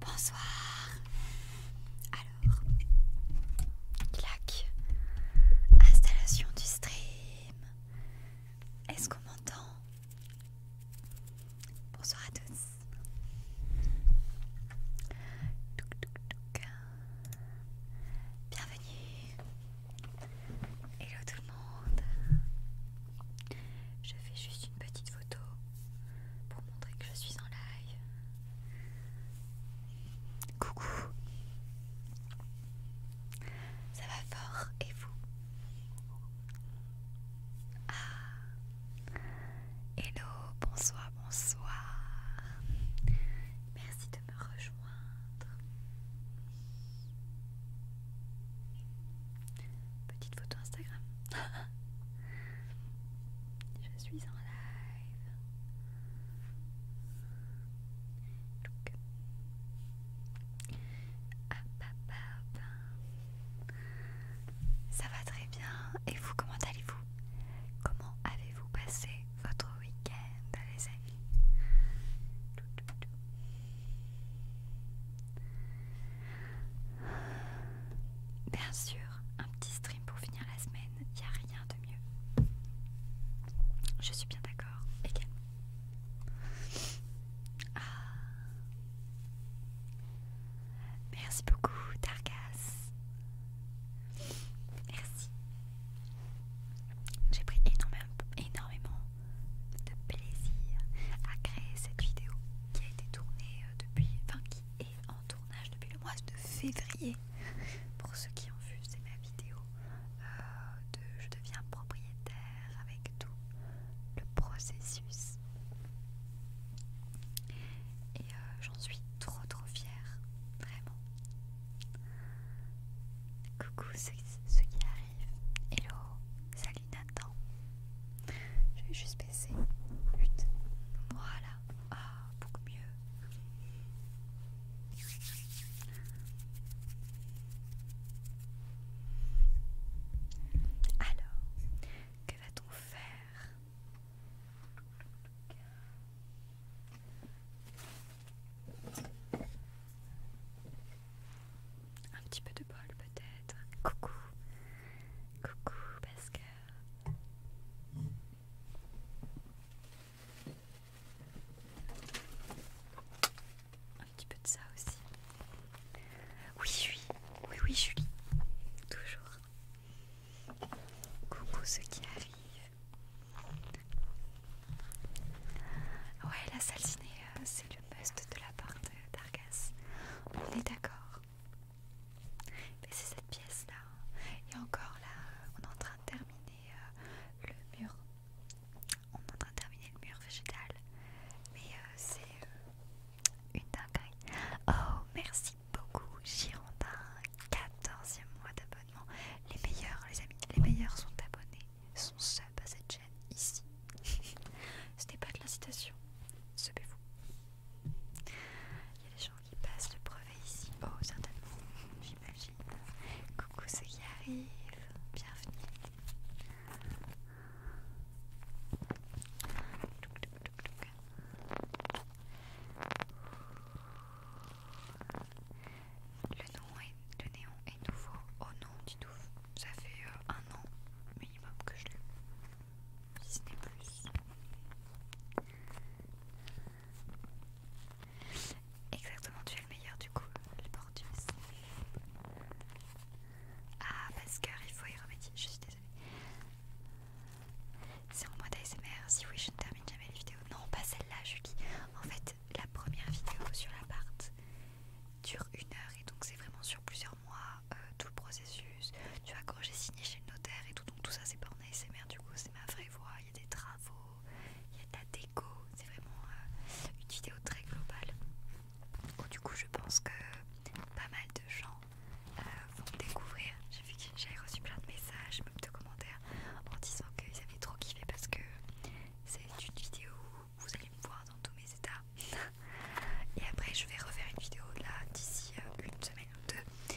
Bonsoir. Alors, clac. Installation du stream. Est-ce qu'on m'entend Bonsoir à tous. Bienvenue. Hello tout le monde. Je fais juste une petite photo pour montrer que je suis en live. Coucou. Ça va fort et vous Ah. Hello, bonsoir, bonsoir. Merci de me rejoindre. Petite photo Instagram. Je suis en live. Ah, Ça va très bien. Et vous, comment allez-vous Comment avez-vous passé votre week-end, les amis Bien sûr, un petit stream pour finir la semaine, il n'y a rien de mieux. Je suis bien d'accord, également. Ah. Merci beaucoup, Targas. Merci. J'ai pris énormément, énormément de plaisir à créer cette vidéo qui a été tournée euh, depuis, enfin qui est en tournage depuis le mois de février. Pour ceux qui ont vu, c'est ma vidéo euh, de je deviens propriétaire avec tout le processus. Et euh, j'en suis trop trop fière, vraiment. Coucou ceux, qui qui Hello, salut Nathan. Je vais juste baisser. Voilà. Ah, beaucoup mieux. Alors, que va-t-on faire un petit peu de bol peut-être. Coucou, coucou Pascal. Un petit peu de ça aussi. Oui, oui, oui, oui, Julie. Toujours. Coucou ceux qui arrivent. Ouais, la salle ciné, euh, le de la part d'Argas. On est d'accord. Mais c'est cette pièce-là. Hein. Et encore là, on est en train de terminer euh, le mur. On est en train de terminer le mur végétal. Mais euh, c'est euh, une dinguerie. Oh, merci beaucoup, Girondin. 14e mois d'abonnement. Les meilleurs, les amis, les meilleurs sont abonnés, sont seuls à cette chaîne ici. Ce n'est pas de l'incitation. Sebez-vous. Il y a des gens qui passent le brevet ici. Oh, certainement, j'imagine. Coucou c'est qui arrive. Bienvenue. Le, nom est, le néon est nouveau au nom du ça fait euh, un an minimum que je l'ai, si ce n'est plus. Exactement, tu es le meilleur du coup, les portuistes. Ah, Pascal, il faut y remédier, je suis désolée. C'est en mode ASMR, si oui, je ne termine jamais les vidéos. Non, pas celle-là, Julie. En fait, la première vidéo sur l'appart dure une heure et donc c'est vraiment sur plusieurs moi euh, tout le processus. Tu vois, quand j'ai signé chez le notaire et tout, donc tout ça c'est pas en ASMR du coup, c'est ma vraie voix. Il y a des travaux, il y a de la déco, c'est vraiment euh, une vidéo très globale. du coup, je pense que pas mal de gens euh, vont découvrir. J'ai vu que reçu plein de messages, même de commentaires en disant qu'ils avaient trop kiffé parce que c'est une vidéo où vous allez me voir dans tous mes états. Et après, je vais refaire une vidéo là d'ici euh, une semaine ou deux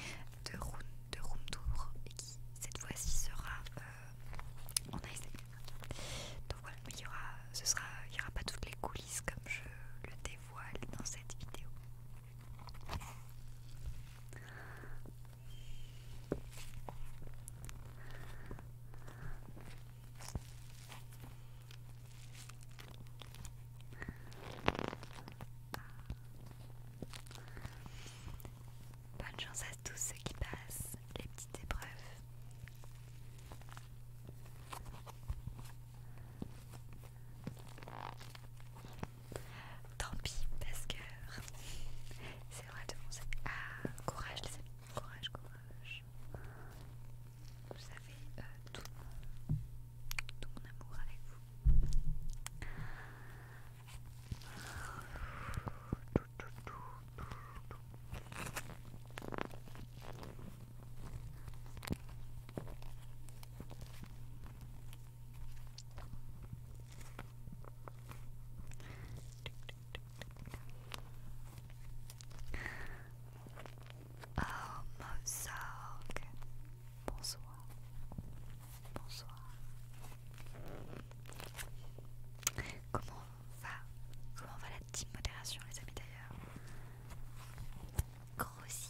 de room, de room tour et qui cette fois-ci sera euh, en Donc voilà, il y aura, ce sera, il aura pas toutes les coulisses comme je le dévoile dans cette vidéo. Bonne chance à tous ceux qui passent les petites épreuves. Tant pis, parce que c'est vrai de penser. Ah, courage les amis, courage, courage vous avez euh, tout, mon, amour avec vous. Oh, Mozart. Bonsoir. Bonsoir. Comment va Comment va la team modération, les amis d'ailleurs Grossi.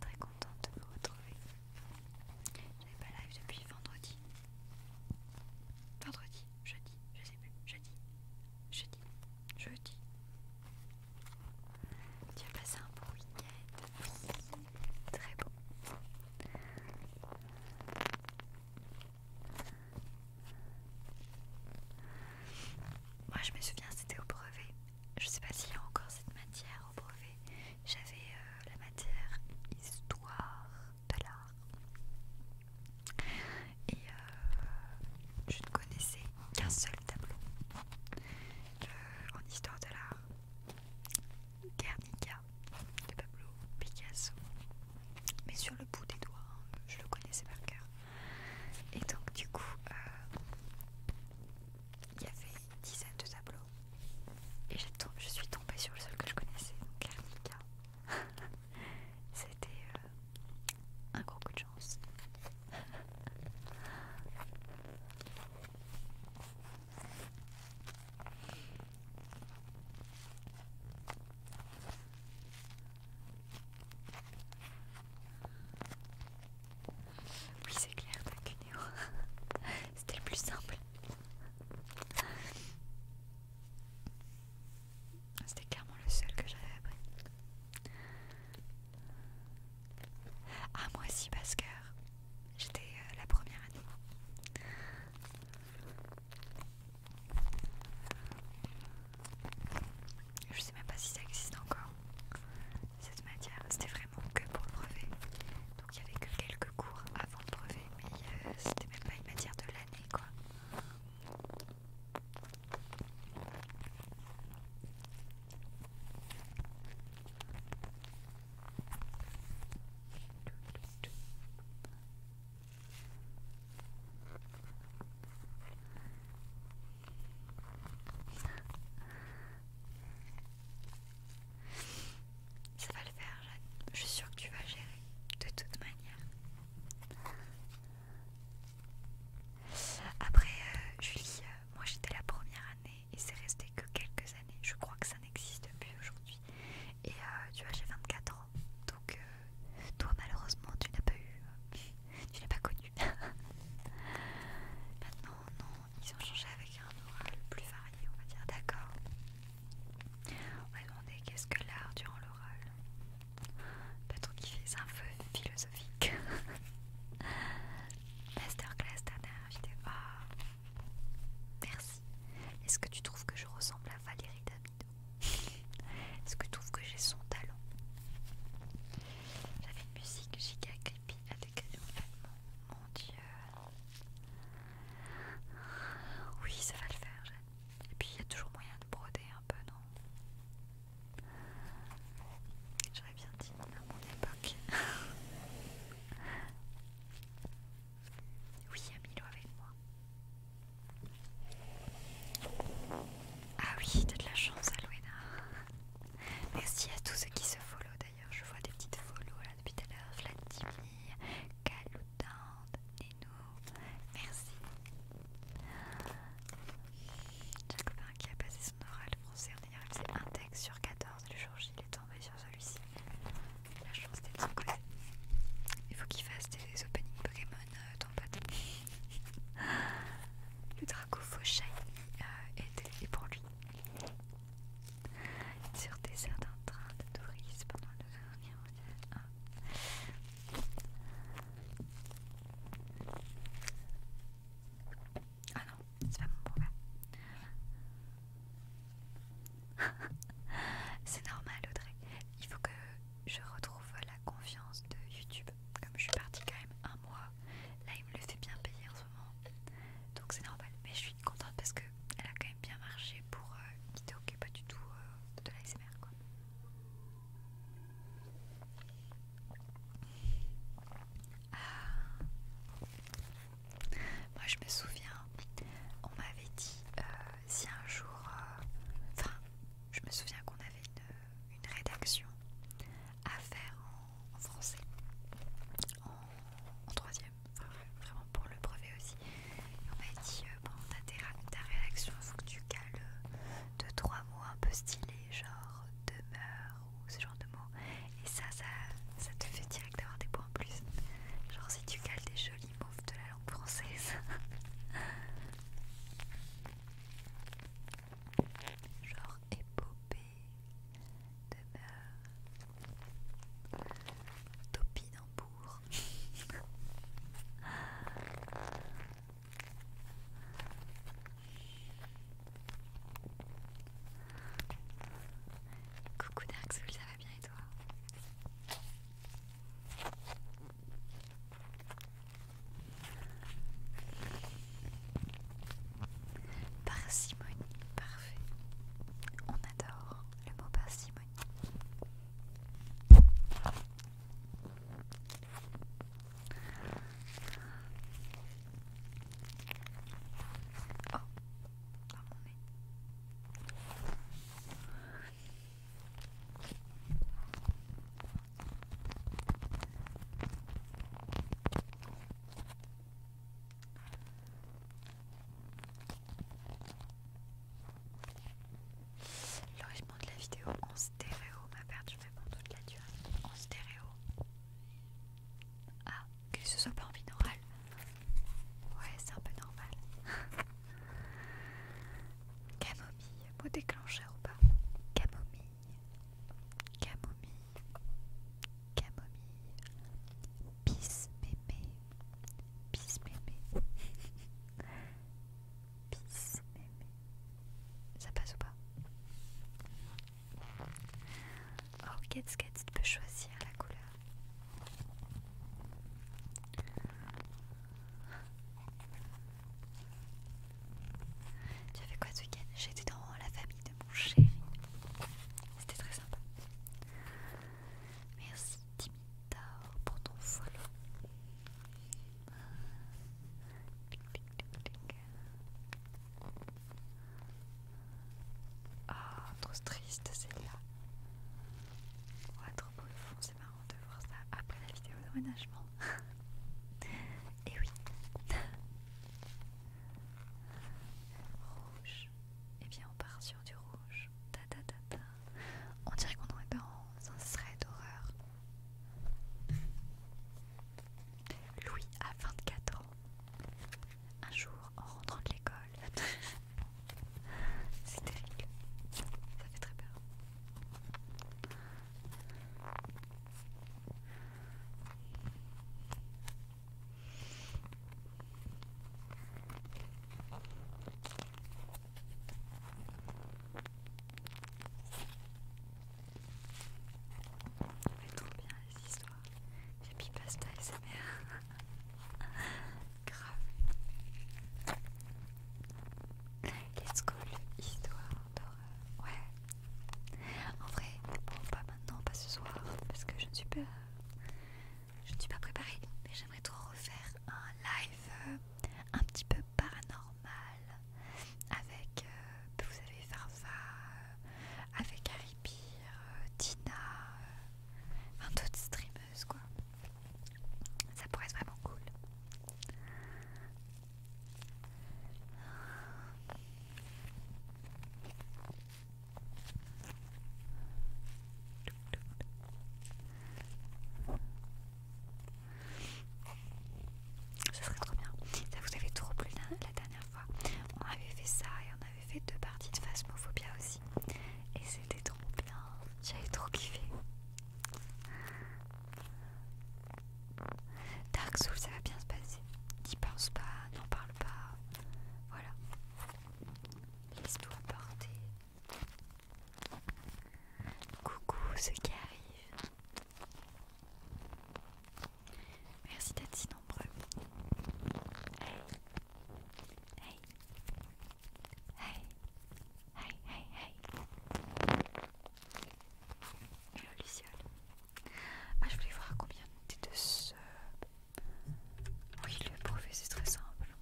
Très contente de vous retrouver. J'avais pas live depuis vendredi. Vendredi, jeudi, je sais plus, jeudi, jeudi, jeudi. Tu as passé un bon week-end. très beau. Moi je me souviens c'était au brevet je sais pas s'il y a encore cette matière au brevet, j'avais euh, la matière histoire de l'art. Et euh, je ne connaissais qu'un seul tableau euh, en histoire de l'art. Guernica de Pablo Picasso. Mais sur le bout des doigts, hein, je le connaissais par cœur. Et donc du coup, il y avait une dizaine de tableaux et je suis tombée sur le seul que je connaissais, donc C'était euh, un gros coup de chance. Oui, c'est clair, t'as C'était le plus simple. C'était clairement le seul que j'avais appris. Ah, moi aussi, que J'étais euh, la première année. Je sais même pas si ça existe encore cette matière, c'était vraiment que pour le brevet. Donc il n'y avait que quelques cours avant le brevet, mais euh, c'était même pas une matière de l'année quoi. Ça va le faire, Jeanne. Je suis sûre que tu vas gérer, de toute manière. Après, euh, Julie, euh, moi j'étais la première année et c'est resté que quelques années. Je crois que ça n'existe plus aujourd'hui. Et euh, tu vois, j'ai 24 ans. Donc, toi malheureusement, tu n'as pas eu. Tu n'as pas connu. Maintenant, non, ils ont changé avec un oral plus varié, on va dire. D'accord. On va demander qu'est-ce que l'art durant l'oral. Peut-être qu'il fait un peu philosophique. Masterclass, dernière vidéo. Ah. Merci. Est-ce que tu trouves que je ressemble à Valérie Damido Est-ce que tu trouves que j'ai son talent J'avais une musique giga creepy a des en Mon dieu. Oui, ça va le faire, Et puis il y a toujours moyen de broder un peu, non J'aurais bien dit à mon époque. oui, il y a Milo avec moi. Ah oui, t'as de la chance, Alouena. Merci à tous ceux qui se followent d'ailleurs, je vois des petites follow là depuis tout à l'heure. Vladimir, Kaloudand, Nino, merci. J'ai un copain qui a passé son oral français en a réalisé un texte sur 14 le jour J, il est tombé sur celui-ci. La chance était son côté. Il faut qu'il fasse des, openings Pokémon, euh, ton pote. Le Draco Faux Shiny euh, est, est pour lui sur des en train de touristes pendant le dernier Ah, non, c'est pas mon problème. c'est normal, Audrey. Il faut que je retrouve la confiance de YouTube. Comme je suis partie quand même un mois, là il me le fait bien payer donc c'est normal mais je suis contente parce que a quand même bien marché pour euh, quitter ne pas du tout euh, de l'ASMR quoi ah. moi je me souviens on m'avait dit euh, si un jour enfin je me souviens qu'on avait une, une rédaction à faire en en, français en, troisième, vraiment pour le brevet aussi. on m'a dit euh, pendant ta réaction, faut que tu cales euh, deux trois mots un peu stylés, genre demeure ou ce genre de mots. Et ça, ça, ça te fait direct d'avoir des points en plus. Genre si tu cales des jolis mots de la langue française. Genre épopée, de beurre d'opinambour. Coucou Darksoul, ça va bien et toi Parcimonie, parfait. On adore le mot parcimonie. Le de la vidéo en stéréo m'a je fais mon toute la durée. En stéréo. Ah, que se soit pas en binaural. Ouais, c'est un peu normal. Camomille, mot déclencheur ou pas Camomille. Camomille. Camomille, Bis Mémé, Bis Mémé, Bis Mémé. Ça passe ou pas Oh, tu tu peut choisir la couleur. Tu as fait quoi ce week-end J'étais dans la famille de chéri. C'était très sympa. Merci Timita pour ton follow. Ah, trop triste celle-là. Ouais, trop fond c'est marrant de voir ça après la vidéo de Et oui. Rouge. Et eh bien on part sur du rouge. On dirait qu'on est dans un serait d'horreur. Louis a 24 ans. Un jour, en rentrant de l'école. C'est terrible. Ça fait très peur. Mais trop bien les histoires. J'ai mis pasta et sa mère. Grave. Let's go, histoire d'horreur. Ouais. En vrai, bon pas maintenant, pas ce soir, parce que je ne suis pas, je ne suis pas préparée. Mais j'aimerais trop refaire un live euh, un petit peu paranormal avec, euh, vous savez, Farfa, euh, avec Harry Tina, Enfin d'autres streameuses quoi. Ça pourrait être vraiment cool. Ça serait trop bien. Ça vous avait trop plu la, dernière fois. On avait fait ça et on avait fait deux parties de Phasmophobia aussi. Et c'était trop bien. J'avais trop kiffé. Dark Souls, ça va bien se passer. N'y pense pas, n'en parle pas. Voilà. Laisse-toi porter. Coucou ce qui arrive. Merci d'être si nombreux. Hey. Hey. Hey. Hey, hey, hey. Hello, Luciole. Ah, je voulais voir combien de ce. Oui, le professeur c'est très simple.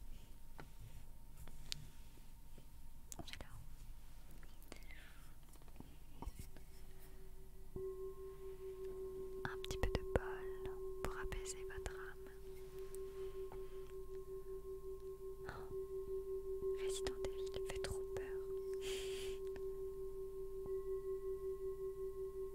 Un petit peu de bol pour apaiser votre âme. Oh, Resident Evil fait trop peur. Trop bien.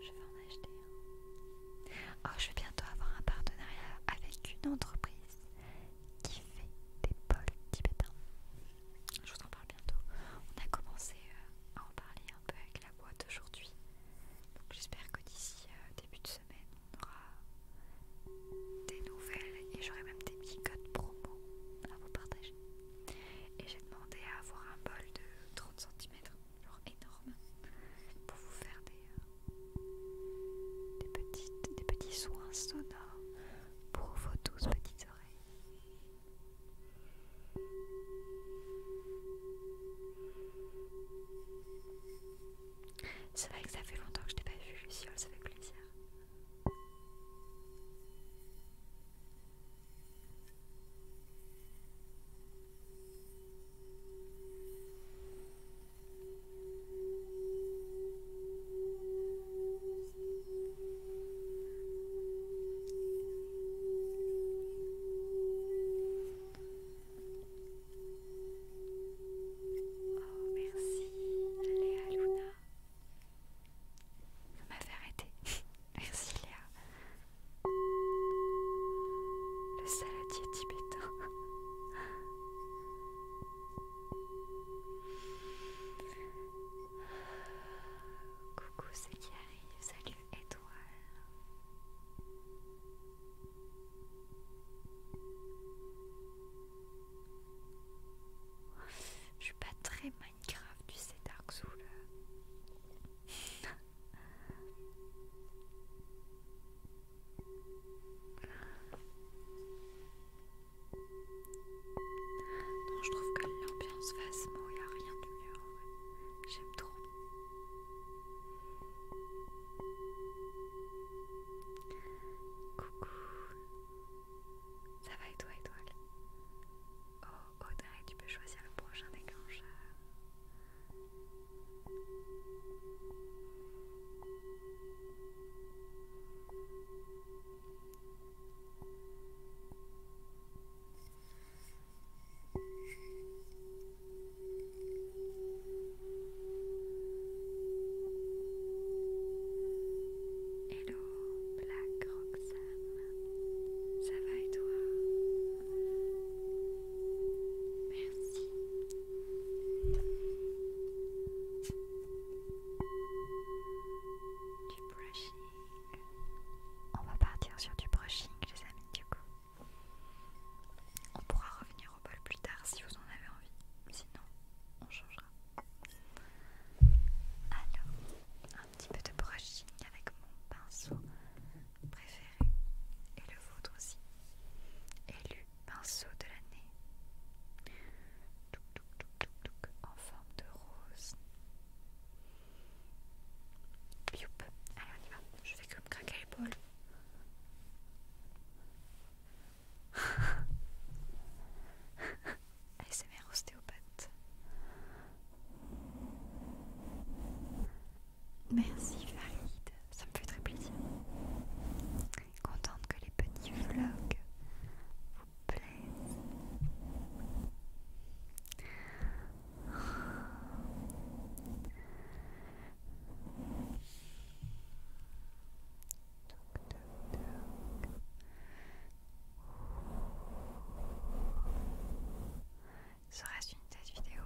Je vais en acheter un. Oh, je vais bientôt avoir un partenariat avec une entreprise qui fait des bols tibétains. Je vous en parle bientôt. On a commencé euh, à en parler un peu avec la boîte aujourd'hui. Donc j'espère que d'ici euh, début de semaine, on aura des nouvelles et j'aurai même des petits codes promo à vous partager. Et j'ai demandé à avoir un bol de 30 cm, genre énorme, pour vous faire des, euh, des, petites, des petits soins sonores pour vos 12 petites c'est vrai que ça fait longtemps que je t'ai pas vu, Luciole, ça fait plaisir. Oh merci Léa Luna. Vous m'avez arrêté. merci Léa. Le saladier tibétain. Coucou, c'est salut étoile. Je suis pas très Minecraft, tu sais, Dark Souls. Non, je trouve que l'ambiance face, il n'y a rien de mieux. En vrai. J'aime trop. Coucou. Ça va et toi, étoile Oh, Audrey, tu peux choisir le prochain déclencheur. Hello, Black Roxanne ça va et toi Merci. Du on va partir sur du brushing, les amis, du coup. On pourra revenir au bol plus tard si vous en avez envie. Sinon, on changera. Alors, un petit peu de brushing avec mon pinceau préféré. Et le vôtre aussi. Élu pinceau de l'année. En forme de rose. Youp. Allez, on y va. Je vais comme craquer l'épaule. ASMR ostéopathe. Merci Farid, ça me fait très plaisir. Contente que les petits vlogs vous plaisent. Ça reste une tête vidéo.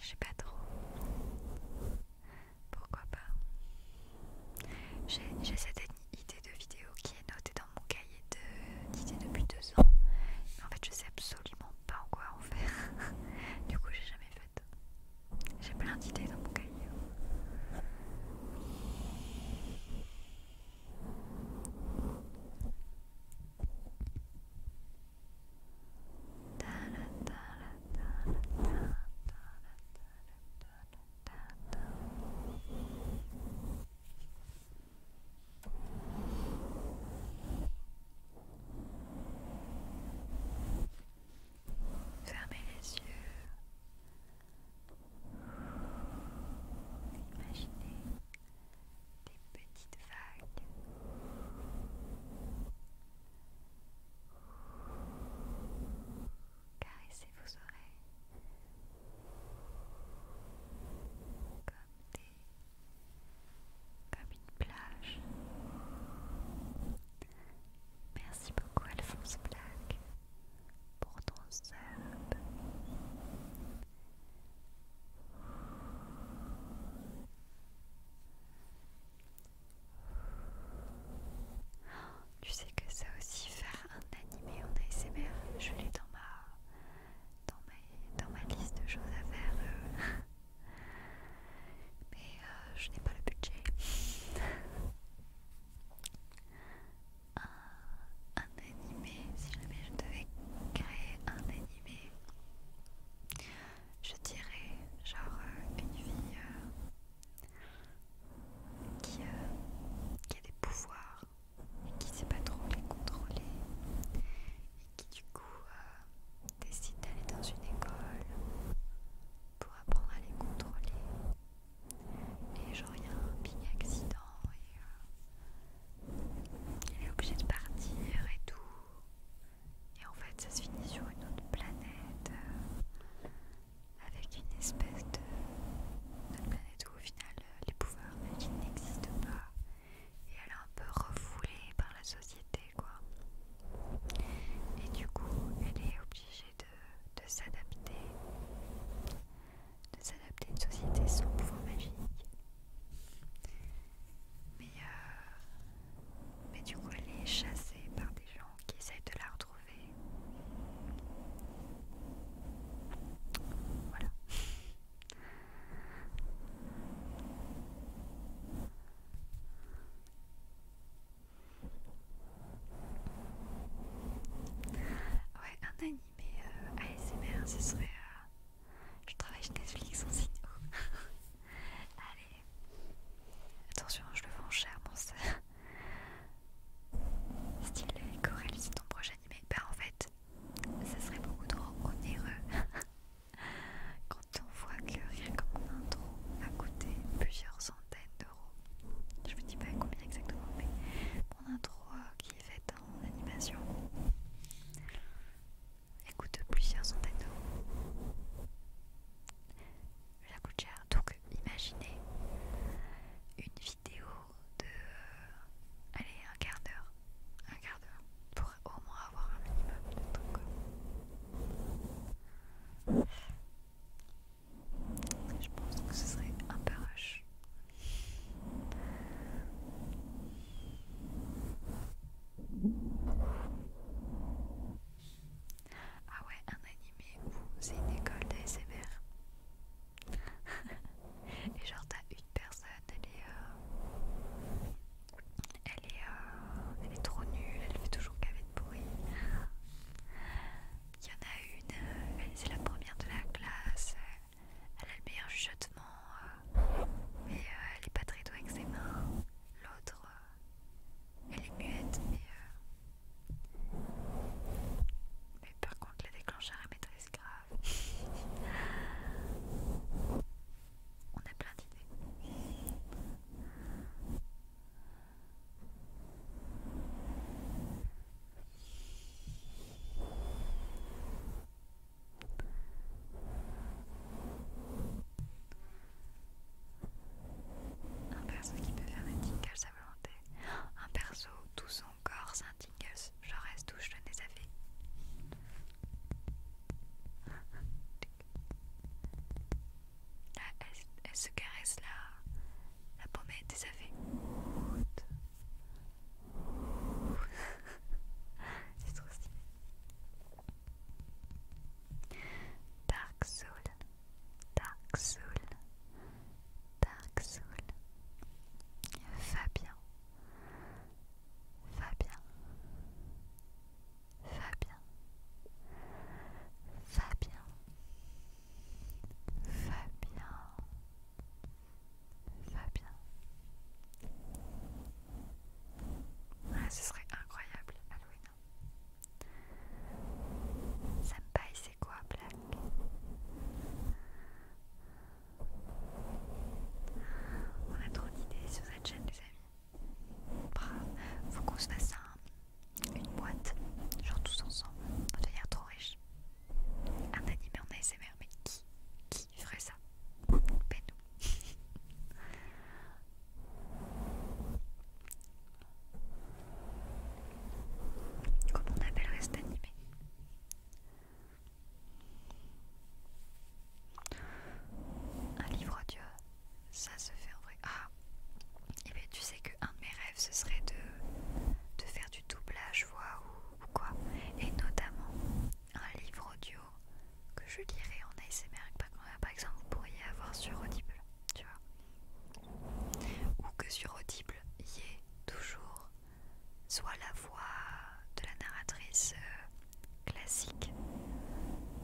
Je sais pas trop. Pourquoi pas J'ai cette idée de vidéo qui noté dans mon cahier d'idées depuis deux ans, en fait je sais absolument pas en quoi en faire. du coup, j'ai jamais fait. J'ai plein d'idées dans mon cahier. Fermez les yeux. Imaginez des petites vagues. Caressez vos oreilles comme des comme une plage. Merci beaucoup Alphonse Black pour ton sub. Tu sais que ça aussi faire un animé en ASMR, je l'ai dans ma dans ma, liste de choses à faire. Euh. Mais euh, je n'ai pas le budget. un, animé, si jamais je devais créer un animé, je dirais genre euh, une fille qui a des pouvoirs et qui sait pas trop les contrôler et qui du coup euh, décide d'aller dans une école pour apprendre à les contrôler et genre il y a un petit accident et euh, il est obligé de partir et tout et en fait ça se finit sur une autre planète euh, avec une espèce de planète au final euh, les pouvoirs magiques n'existent pas et elle est un peu refoulée par la société quoi. Et du coup elle est obligée de, de s'adapter, de s'adapter à une société sans pouvoir magique. Mais, euh, mais du coup elle est chassée par des gens qui essayent de la retrouver. Voilà. Ouais, un animé euh, ASMR, ce serait. Euh, je travaille chez Netflix en signe. Allez, attention, je le vends cher, mon style euh, Coralie, c'est ton prochain animé. Bah, en fait, ça serait beaucoup trop onéreux quand on voit que rien comme mon intro a coûté plusieurs centaines d'euros. Je vous dis pas combien exactement, mais mon intro euh, qui est faite en animation, elle coûte plusieurs centaines d'euros. Ça coûte cher, donc imaginez une vidéo de... Euh, allez, un quart d'heure. Un quart d'heure. Pour au moins avoir un minimum de trucs. Je pense que ce serait un peu rush. Ah ouais, un animé où c'est une école d'ASMR et genre t'as une personne, elle est, euh, elle, est euh, elle est trop nulle, elle fait toujours qu'avec de bruit. Il y en a une, euh, c'est la première de la classe, elle a le meilleur chuchotement, mais elle est pas très douée avec ses mains. L'autre, elle est muette, mais, mais par contre la déclencheur Elle maîtrise grave. On a plein d'idées. Un perso qui peut faire des tics à sa volonté. Un perso, tout son corps saint. Je reste touche le nez à Là, elle, se caresse la, pomme est des affaits. C'est trop stylé. Dark Soul, Dark Soul, Dark Soul, Fabien, Fabien, Fabien, Fabien, Fabien, Fabien. Ah, ce serait incroyable, Halloween. Senpai, c'est quoi, Black on a trop d'idées sur cette chaîne, les amis. Bravo, faut qu'on se fasse une boîte, genre tous ensemble. On va devenir trop riche. Un animé en ASMR, mais qui, qui ferait ça Ben nous. Comment on appellerait cet animé un livre audio, ça se fait en vrai. Ah, et eh bien tu sais qu'un de mes rêves, ce serait de, de faire du doublage voix ou, quoi. Et notamment un livre audio que je lirais en ASMR. Par exemple, vous pourriez avoir sur Audible, tu vois. Ou que sur Audible, il y ait toujours soit la voix de la narratrice euh, classique,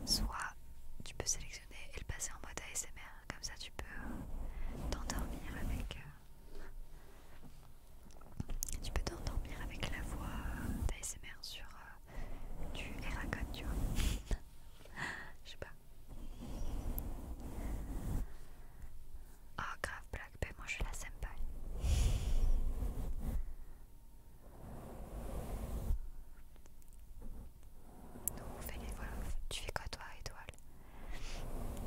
soit tu peux sélectionner et le passer en mode ASMR, comme ça tu peux euh, t'endormir avec euh, tu peux t'endormir avec la voix d'ASMR sur du Eragon, tu vois. Je sais pas. Oh grave blague, ben moi je la sympa Non, fais on fait les voilà, tu fais quoi toi étoile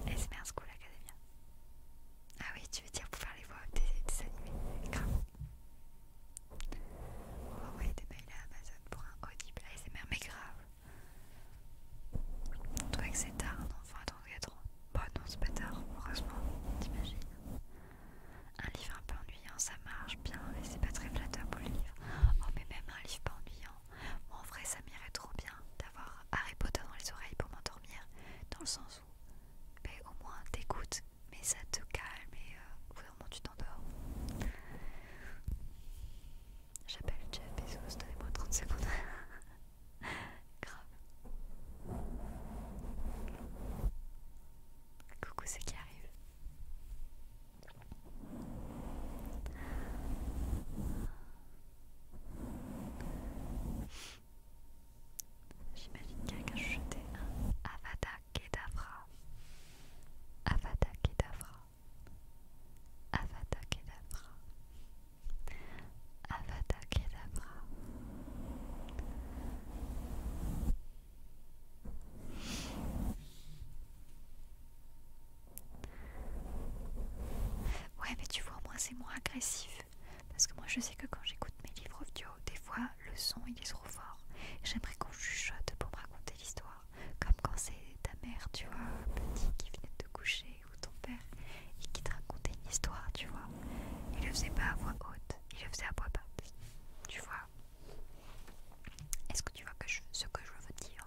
SMR School Academia. Ah oui, tu veux dire pour faire les voix des, des animés, grave. On va envoyer des mails à Amazon pour un audible ASMR, mais grave. Toi que c'est tard, non enfin attends, ans. Bon bah non, c'est pas tard, heureusement, t'imagines. Un livre un peu ennuyant, ça marche bien, mais c'est pas très flatteur pour le livre. Oh mais même un livre pas ennuyant. en vrai ça m'irait trop bien d'avoir Harry Potter dans les oreilles pour m'endormir, dans le sens où mais ben, au moins t'écoutes, mais ça te calme et vraiment euh, au bout d'un tu t'endors. J'appelle Jeff Bezos, donnez-moi 30 secondes. Grave. Coucou c'est qui arrive J'imagine quelqu'un jeter un Avada Kedavra. Avada Kedavra. Avada Kedavra. Avada Kedavra. Ouais, mais tu vois, moi c'est moins agressif. Parce que moi je sais que quand j'écoute mes livres audio, des fois le son il est trop fort. J'aimerais qu'on chuchote pour me raconter l'histoire. Comme quand c'est ta mère, tu vois, petit qui venait de te coucher ou ton père et qui te racontait une histoire, tu vois. Il le faisait pas à voix haute, il le faisait à voix basse, tu vois. Est-ce que tu vois ce que je veux dire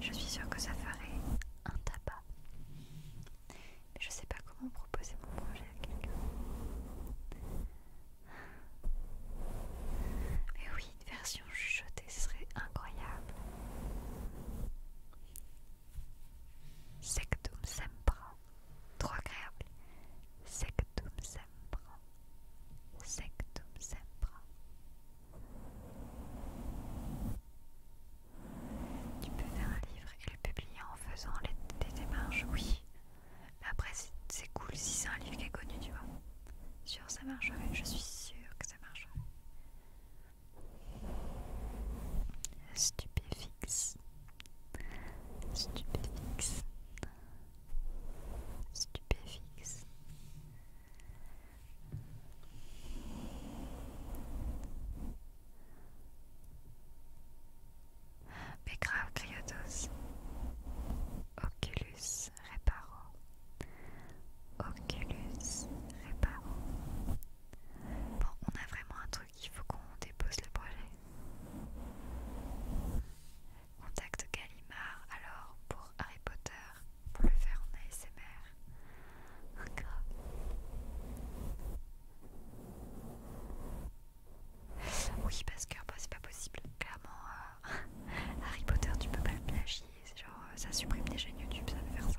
Je suis sûre que ça ferait un tabac. Mais je sais pas comment proposer mon projet à quelqu'un. Mais oui, une version chuchotée serait incroyable. Sectum sempra. Trop agréable. Sectum sempra. Sectum sempra. Tu peux faire un livre et le publier en faisant les, démarches, oui. après, c'est cool si c'est un livre qui est connu, tu vois. Sûr, ça marcherait, je suis sûre que que ça marche. Stupéfix. Stupéfix. Stupéfix. Mais Oculus reparo, Oculus reparo. Bon, on a vraiment un truc, il faut qu'on dépose le projet. Contacte Gallimard, alors pour Harry Potter, pour le faire en ASMR. Oui, parce que bah, c'est pas possible. Clairement, euh, Harry Potter, tu peux pas le plagier c'est genre euh, ça supprime des chaînes YouTube, ça veut faire ça.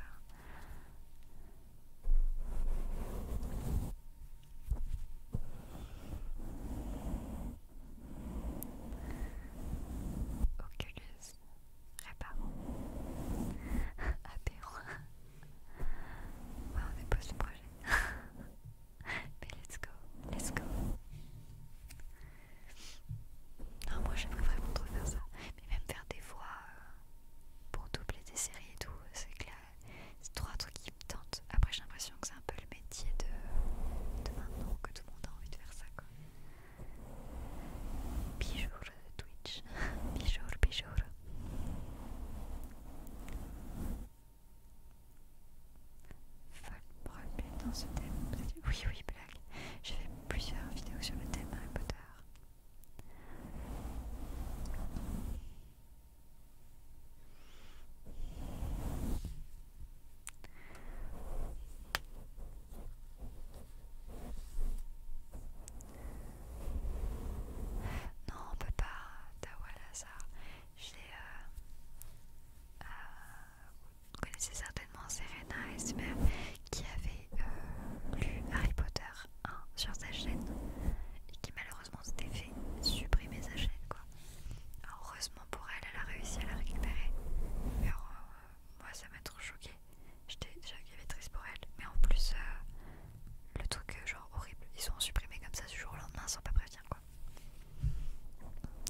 Oculus, réparant, apéro. Ouais, on dépose le projet. Mais let's go, let's go. Non, moi j'aimerais vraiment trop faire ça. Mais même faire des voix euh, pour doubler des séries et tout, c'est que c'est trois trucs qui me tentent. Après, j'ai l'impression que c'est un peu le métier de, maintenant, que tout le monde a envie de faire ça quoi. de Twitch. bijour, bijour. Fun, dans ce thème. Oui, oui, j'ai fait plusieurs vidéos sur le thème Harry Potter. Non, on peut pas, Tawala, ça. Je vous connaissez certainement Serena Esmer qui avait euh, lu Harry Potter 1 sur sa chaîne et qui malheureusement s'était fait supprimer sa chaîne quoi. heureusement pour elle, elle a réussi à la récupérer. Euh, moi ça m'a trop choqué. J'étais déjà triste pour elle. Mais en plus euh, le truc genre horrible, ils sont supprimés comme ça du jour au lendemain sans pas prévenir quoi.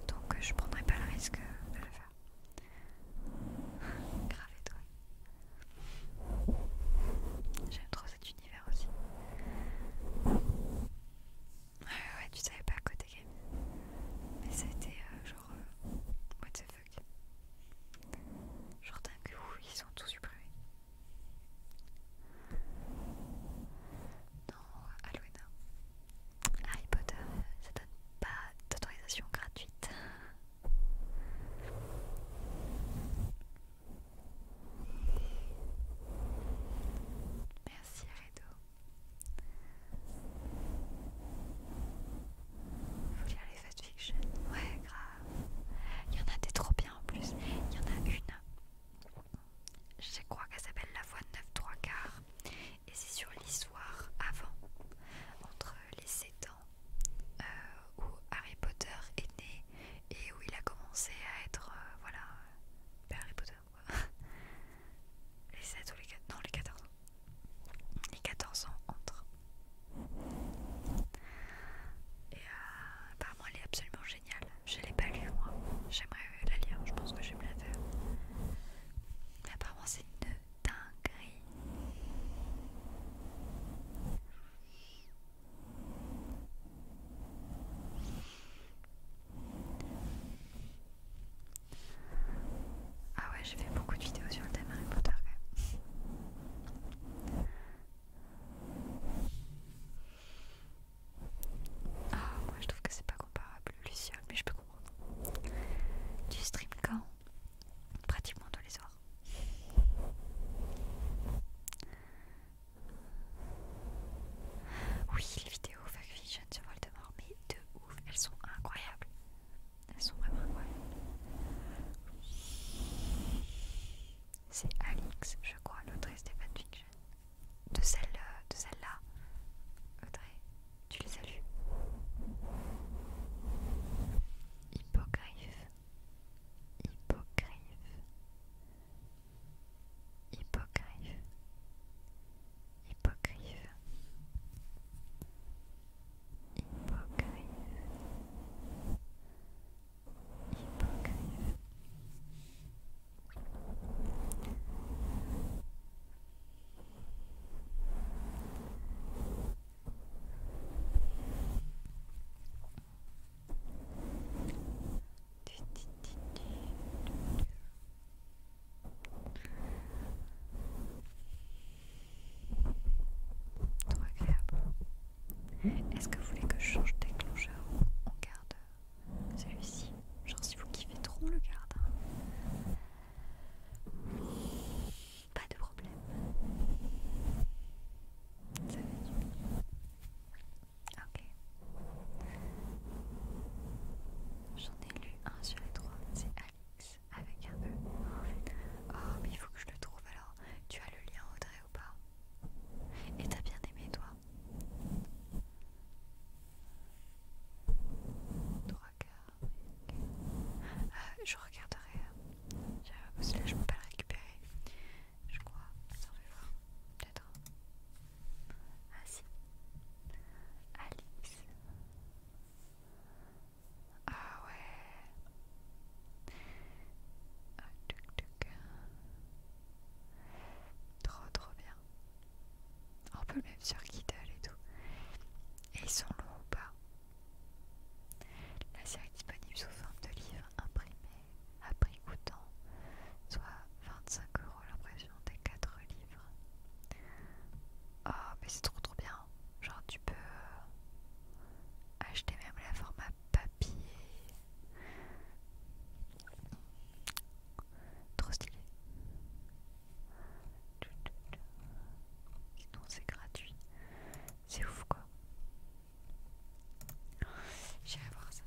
Donc je prendrai pas le risque de le faire. Grave toi J'aime trop cet univers aussi. Ouais, ouais, tu savais pas à côté game. Mais ça a été euh, genre. Euh, what the fuck? Genre dingue, ils ont tout supprimé. Non, Halloween Harry Potter, ça donne pas d'autorisation gratuite. Merci Redo. Faut lire les Fiction Ouais, grave. Il y en a des trop bien en plus. Il y en a une. Je crois qu'elle s'appelle La Voix 9 3 quarts et c'est sur l'histoire avant, entre les 7 ans euh, où Harry Potter est né et où il a commencé à être, euh, voilà, Harry Potter quoi. Les 7 ou les 4, non les 14 ans. Les 14 ans entre. Et euh, apparemment elle est absolument géniale. Je l'ai pas lue moi. J'aimerais la lire, je pense que j'aime la faire. apparemment c'est une gris Ah ouais, j'ai fait beaucoup de vidéos sur le thème Harry Potter Ah, moi je trouve que c'est pas comparable, lucien mais je peux du stream quand Pratiquement tous les soirs. Oui, les vidéos Fiction sur Voldemort, mais de ouf, elles sont incroyables. Elles sont vraiment incroyables. C'est Alix, je crois, l'autrice des fanfictions. De celle euh, de celle-là. Audrey, tu les salues. Hypocrite. Hypocrite. Hypocrite. Hypocrite. Hypocrite. Hypocrite. Trop agréable. Est-ce que vous voulez que je change de déclencheur ou on garde celui-ci Genre si vous kiffez trop, le garde. Pas de problème. Ça Ok. J'en ai lu un sur les trois, c'est Alex avec un E. Oh, mais il faut que je le trouve alors. Tu as le lien, Audrey, ou pas Et t'as bien aimé, toi euh, je regarderai. Euh, Celui-là, je peux pas le récupérer. Je crois. ça je vais voir. Peut-être. Ah si. Alice. Ah ouais. Ah, Trop trop bien peut peu même sur Kiddle et tout. Et ils sont longs ou pas La série est disponible sous forme de livre imprimé à prix coûtant, soit 25 euros l'impression des 4 livres. Oh, mais c'est trop trop bien! Genre, tu peux euh, acheter même la forme à papier. Trop stylé. Sinon c'est gratuit. C'est ouf quoi. J'irai voir ça.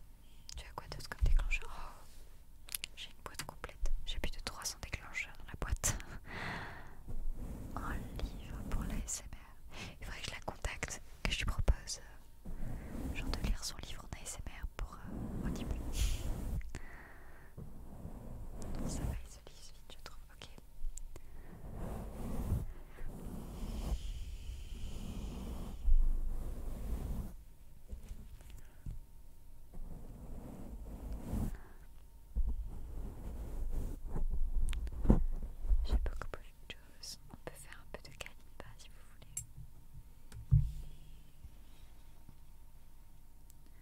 Tu as quoi d'autre comme déclencheur oh, J'ai une boîte complète. J'ai plus de 300 déclencheurs dans la boîte. Un livre pour l'ASMR Il faudrait que je la contacte, que je lui propose euh, genre de lire son livre en ASMR pour un euh, ça je trouve. Ok. J'ai beaucoup plus de choses. On peut faire un peu de calimba si vous voulez.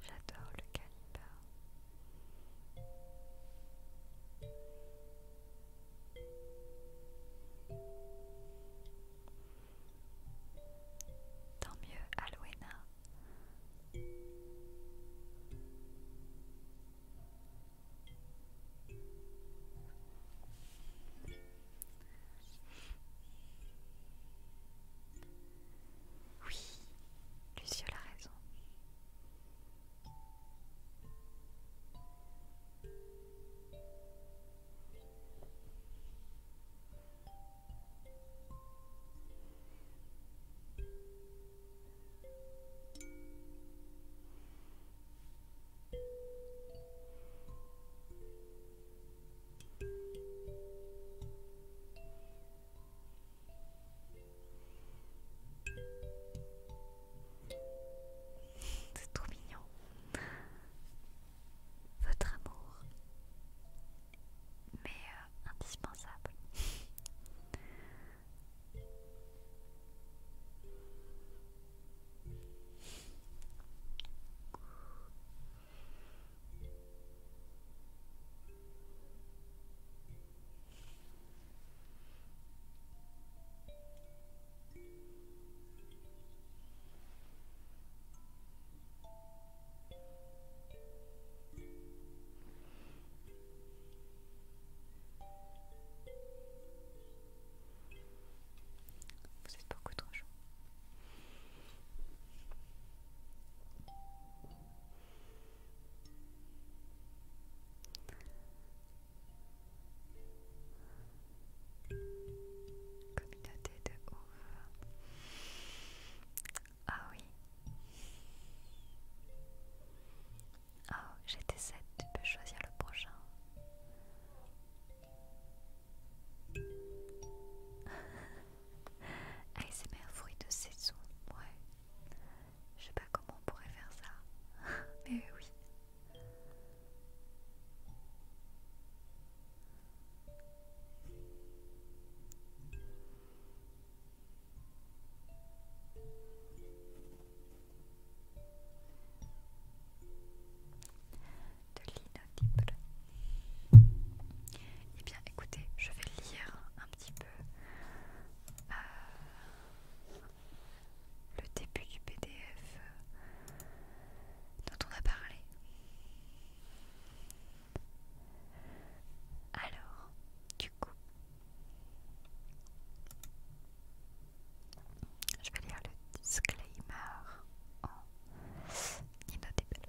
J'adore le calibar. Tant mieux, Alwena. Oui, Luciole a raison. C'est trop mignon. Votre amour. Mais euh, indispensable. Vous êtes beaucoup trop chaud. Communauté de ouf. Ah oui. Oh, j'étais sept. tu peux choisir le prochain. ASMR fruit de saison, ouais. Je sais pas comment on pourrait faire ça, mais oui. De l'inodyble. Eh bien, écoutez, je vais lire un petit peu euh, le début du PDF euh, dont on a parlé. Alors, du coup, je vais lire le disclaimer en inaudible.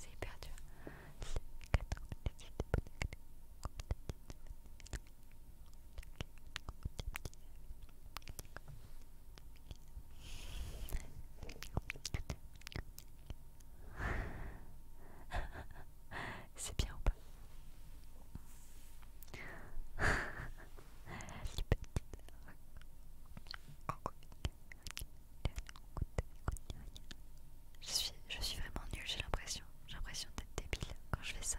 C'est hyper dur. C'est bien ou pas Je suis, je suis vraiment nulle, j'ai l'impression. J'ai l'impression d'être débile quand je fais ça.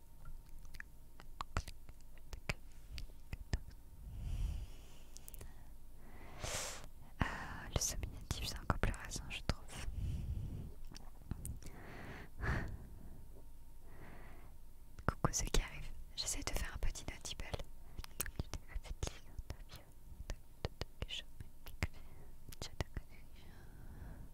Euh, le sominatif, c'est encore plus rassant je trouve. Coucou ceux qui arrivent. J'essaie de faire un petit notable.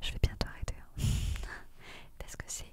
Je vais bientôt arrêter hein. parce que c'est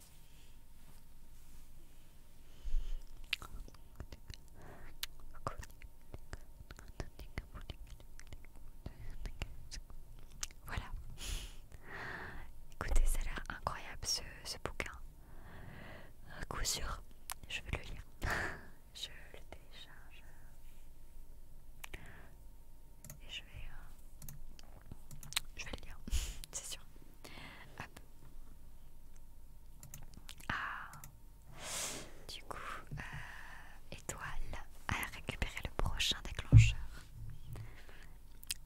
voilà. Écoutez, ça a l'air incroyable ce, bouquin. un coup sûr, je vais le lire. je le télécharge. Et je vais, euh, je vais le lire, c'est sûr. Ah. Du coup, euh, étoile à récupérer le prochain déclencheur.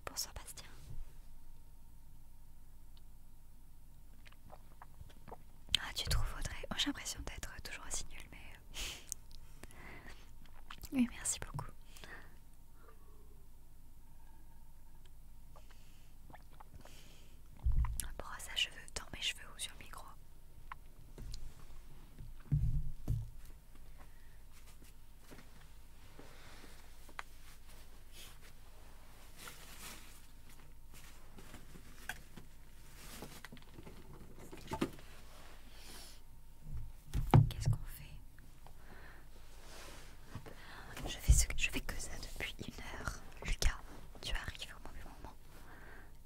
Bonsoir Bastien. Ah, tu trouves Audrey oh, J'ai l'impression d'être toujours aussi nul mais... Euh, oui, merci beaucoup. Brosse à cheveux dans mes cheveux ou sur micro. Qu'est-ce qu'on fait je fais, Je fais que ça depuis une heure. Lucas, tu arrives au mauvais moment.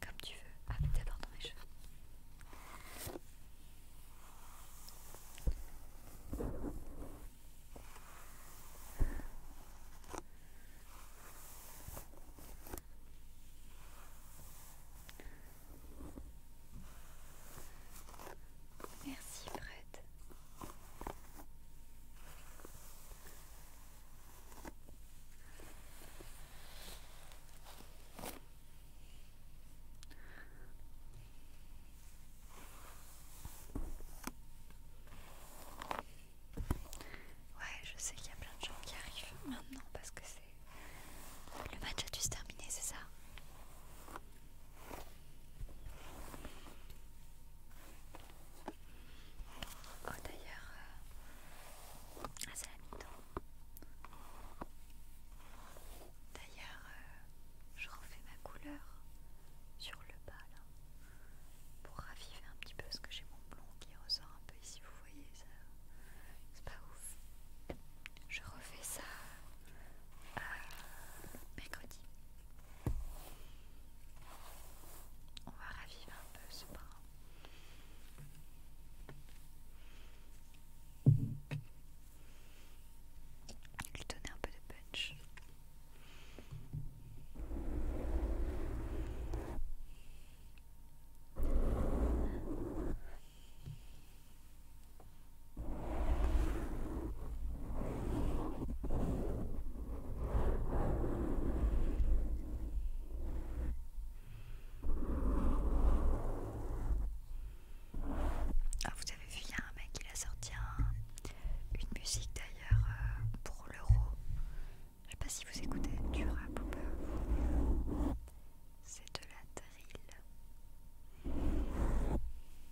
Comme tu veux. Ah, d'abord dans mes cheveux. Merci Fred. Ouais, je sais qu'il y a plein de gens qui arrivent maintenant parce que c'est... Le match a dû terminé c'est ça Oh d'ailleurs, c'est la mi-temps. D'ailleurs, euh, je refais ma couleur sur le bas là hein, pour raviver un petit peu parce que j'ai mon blond qui ressort un peu ici. Vous voyez ça, c'est pas ouf. Je refais ça euh, mercredi. On va raviver un peu ce bras. Lui donner un peu de punch. Ah, vous avez vu, il y a un mec qui a sorti une musique d'ailleurs euh, pour l'euro. Je sais pas si vous écoutez du rap ou pas. C'est de la drill.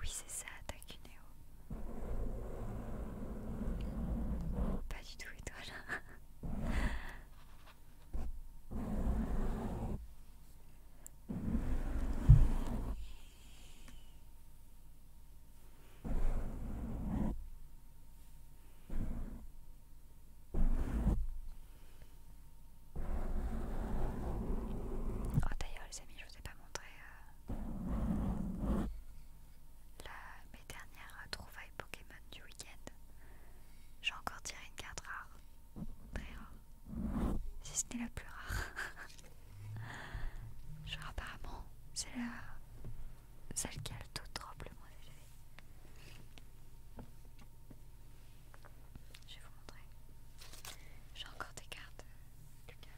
Oui, c'est ça, Takuneo. Pas du tout, étoile. Oh, d'ailleurs les amis, je vous ai pas montré euh, mes dernières trouvailles Pokémon du week-end. J'ai encore tiré une carte rare, très rare, si ce n'est la plus rare. Genre, apparemment, c'est la celle qui a le tout de drop le moins élevé. Je vais vous montrer. J'ai encore des cartes, euh,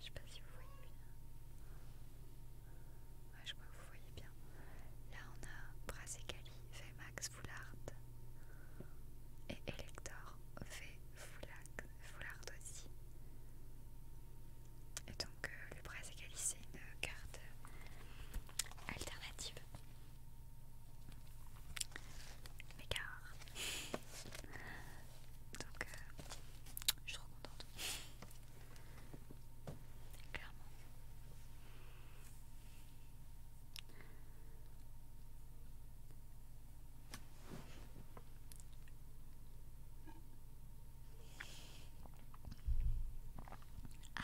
Je sais pas si vous voyez bien. je crois que vous voyez bien. Là, on a V Max Foulard et Elector V Foulard, aussi. Et donc, euh, le Brassicali c'est une carte alternative. Mais donc euh, je suis trop contente clairement ah.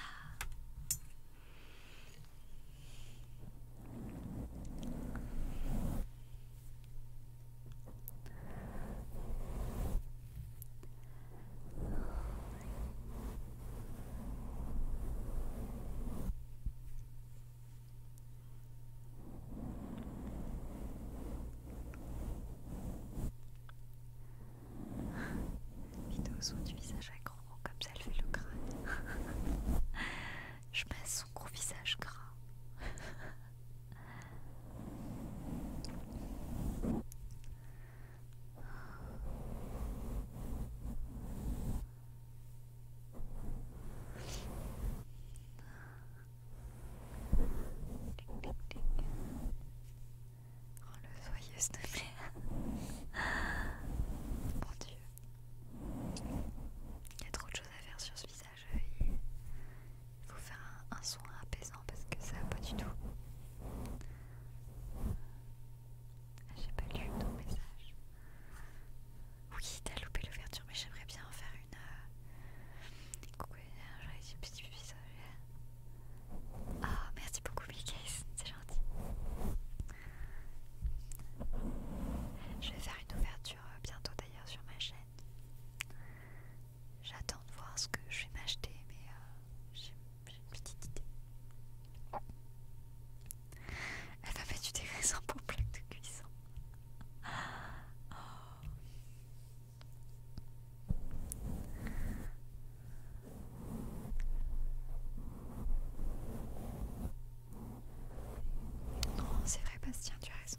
Vidéo son du visage à gros comme ça fait le crâne. Je passe son gros visage gras. Oh le soyeux s'il te Mon dieu. Il y a trop de choses à faire sur ce visage. Il faut faire un, soin apaisant parce que ça va pas du tout. Ah, j'ai pas lu ton message. Oui, t'as loupé l'ouverture, mais j'aimerais bien en faire une. Euh, Coucou, euh, j'aurais eu un petit bisou. Ah, merci beaucoup, Mickey c'est gentil. Je vais faire une ouverture euh, bientôt d'ailleurs sur ma chaîne. J'attends de voir ce que je vais m'acheter, mais euh, j'ai une petite idée. Elle m'a fait du dégraissant pour plaque de cuisson. Oh. Non, c'est vrai, Bastien, tu as raison.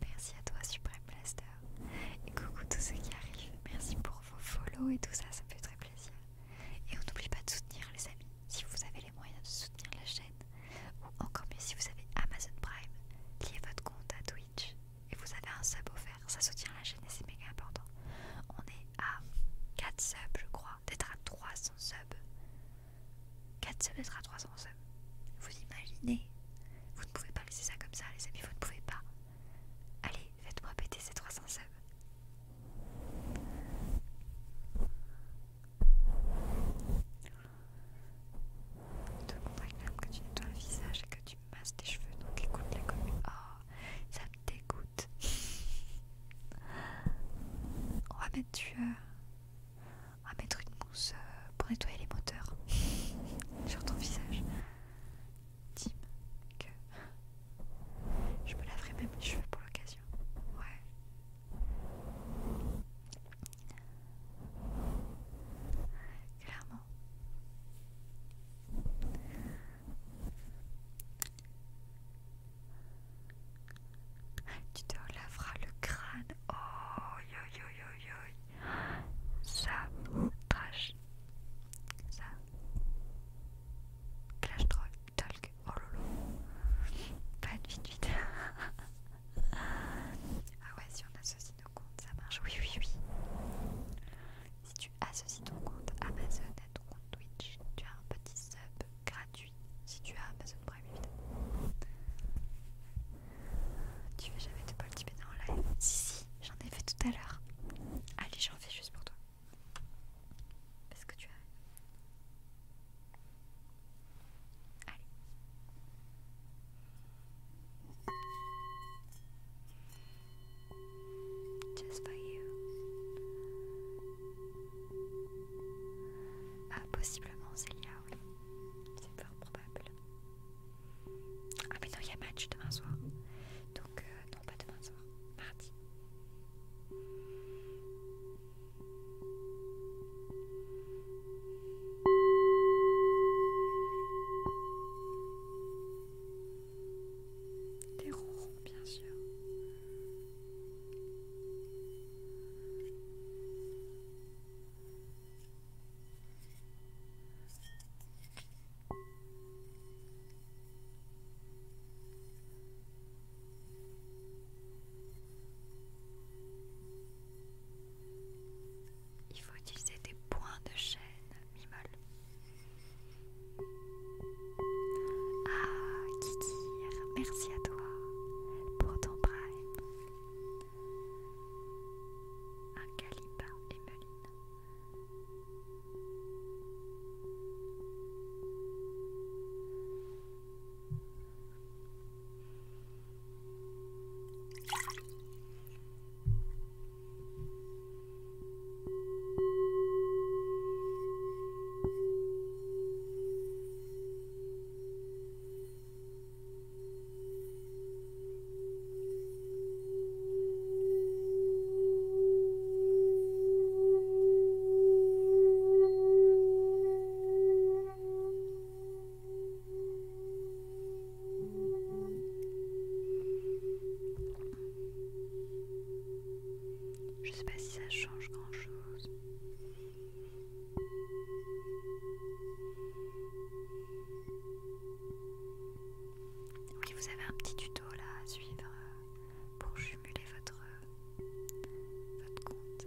Merci à toi Supreme Blaster. Et coucou tous ceux qui arrivent. Merci pour vos follows et tout ça, ça me fait très plaisir. Et on n'oublie pas de soutenir les amis. Si vous avez les moyens de soutenir la chaîne, ou encore mieux si vous avez Amazon Prime, liez votre compte à Twitch et vous avez un sub offert. Ça soutient la chaîne et c'est méga important. On est à 4 subs, je crois. D'être à 300 subs. 4 subs, d'être à 300 vous imaginez Vous ne pouvez pas laisser ça comme ça, les amis, vous ne pouvez pas. Allez, faites-moi péter ces 300 subs. Te même que tu nettoies le visage et que tu masses tes cheveux, donc écoute la commune. Oh, ça me dégoûte. On va mettre tueur à ah, mettre une mousse euh, pour nettoyer les moteurs sur ton visage. Tim, que je me laverai même les cheveux pour l'occasion. Ouais. Clairement. Tu te laveras le crâne. Oh, yo yo yo yo. Ça trash. Ça. Clash troll talk. Oh lolo. Pas de vite vite. ah ouais, si on associe nos comptes, ça marche. Oui, oui, oui. Si tu associes ton compte Amazon à ton compte Twitch, tu as un petit sub gratuit si tu as Amazon Prime. Tu veux jamais te petit en live Si, si, j'en ai fait tout à l'heure. Allez, j'en fais juste pour toi. Parce que tu as. Allez. Just for you. Ah, possiblement Célia, oui. C'est fort probable. Ah mais non, il y a match demain soir. Donc, euh, non, pas demain soir, mardi. Des ronron bien sûr. Il faut utiliser des points de chaîne mimol. Ah, Kikir, merci à toi pour ton prime. Un calipa et Voilà, je sais pas si ça change grand chose. Oui, vous avez un petit tuto là à suivre euh, pour jumeler votre, compte.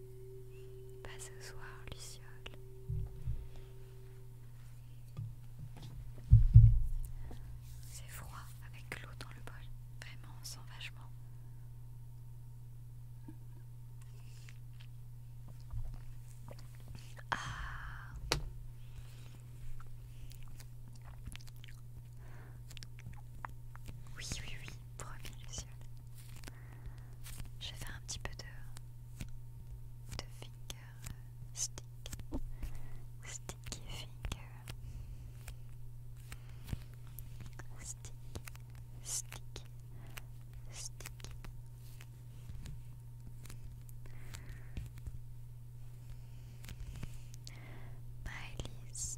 Pas ce soir, Luciole. C'est froid avec l'eau dans le bol. Vraiment, sans vachement. Ah. Oui, oui, oui, promis, Luciole. Je vais faire un petit peu de, de finger stick, sticky finger, stick, stick, stick.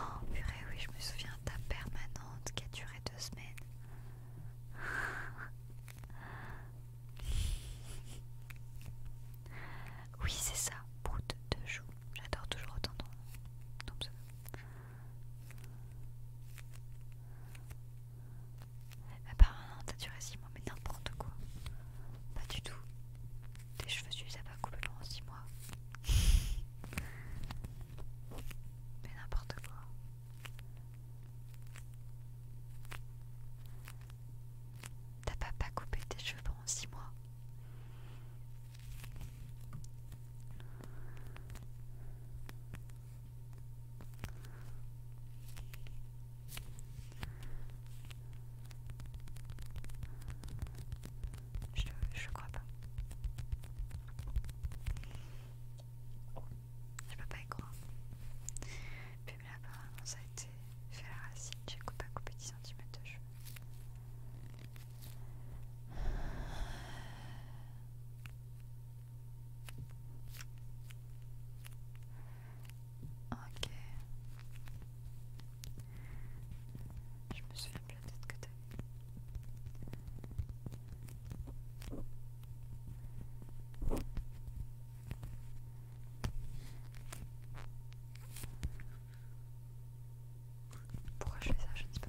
Oh purée, oui, je me souviens de ta permanente qui a duré deux semaines. oui, c'est ça, Broute de jours J'adore toujours autant ton, ça Apparemment, t'as duré six mois, mais n'importe quoi. Pas du tout. Tes cheveux, tu les as pas coupés 6 mois. Mais n'importe quoi. T'as pas pas coupé tes cheveux pendant 6 mois. Je, je crois pas. Je peux pas y croire. Puis là, apparemment, ça a été fait à la racine. J'ai coupé à couper 10 de cheveux. Ok. Je me souviens plus de que t'as Pourquoi je fais ça Je ne sais pas.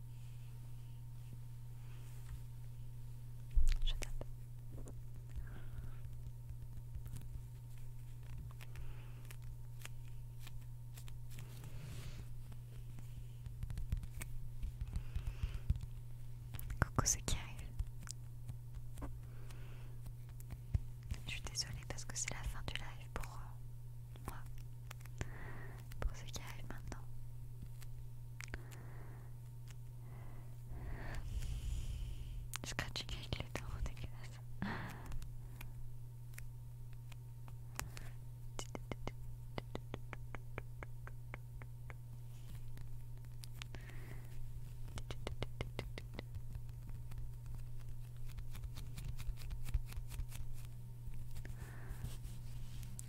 Je tape. Coucou ceux qui arrive Je suis désolée parce que c'est la fin du live pour euh, moi pour ce qui arrive maintenant. Je avec du temps, dégueulasse. Voilà.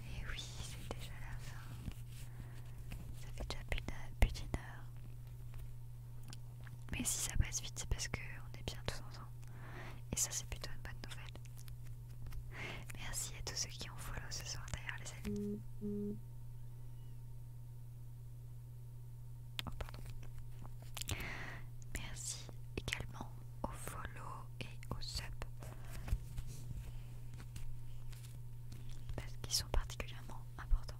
Et oui, c'est déjà la fin. Ça fait déjà plus d'une heure. Mais si ça passe vite, c'est parce qu'on est bien tous ensemble. Et ça, c'est plutôt une bonne nouvelle. Merci à tous ceux qui ont follow ce soir, d'ailleurs, les amis. Oh, pardon. Merci également au follow et au sub qui sont particulièrement importants.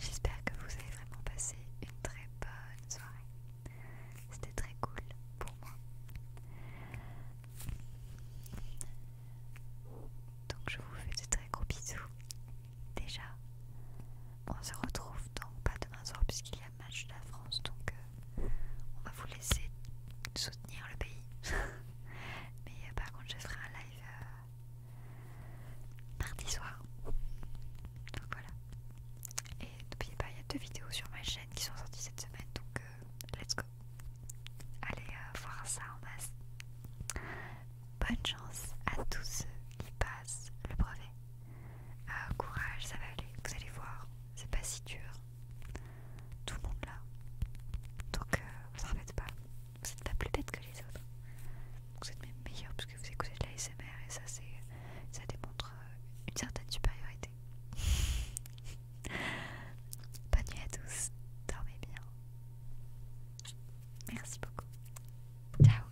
J'espère que vous avez vraiment passé une très bonne soirée. C'était très cool pour moi. Donc je vous fais de très gros bisous. Déjà, on se retrouve donc pas demain soir puisqu'il y a match de la France, donc euh, on va vous laisser soutenir le pays. Mais euh, par contre, je ferai un live euh, mardi soir. Donc voilà. Et n'oubliez pas, il y a deux vidéos sur ma chaîne qui sont sorties cette semaine, donc let's go. Allez voir ça en masse. Bonne chance à tous ceux qui passent le brevet. Ah, courage, ça va aller, vous allez voir, c'est pas si dur. Tout le monde là. Donc, euh, vous en faites pas. Vous n'êtes pas plus bête que les autres. Vous êtes même meilleur parce que vous écoutez de la SMR et ça, c'est, ça démontre euh, une certaine supériorité. Bonne nuit à tous, dormez bien. Merci beaucoup. Ciao.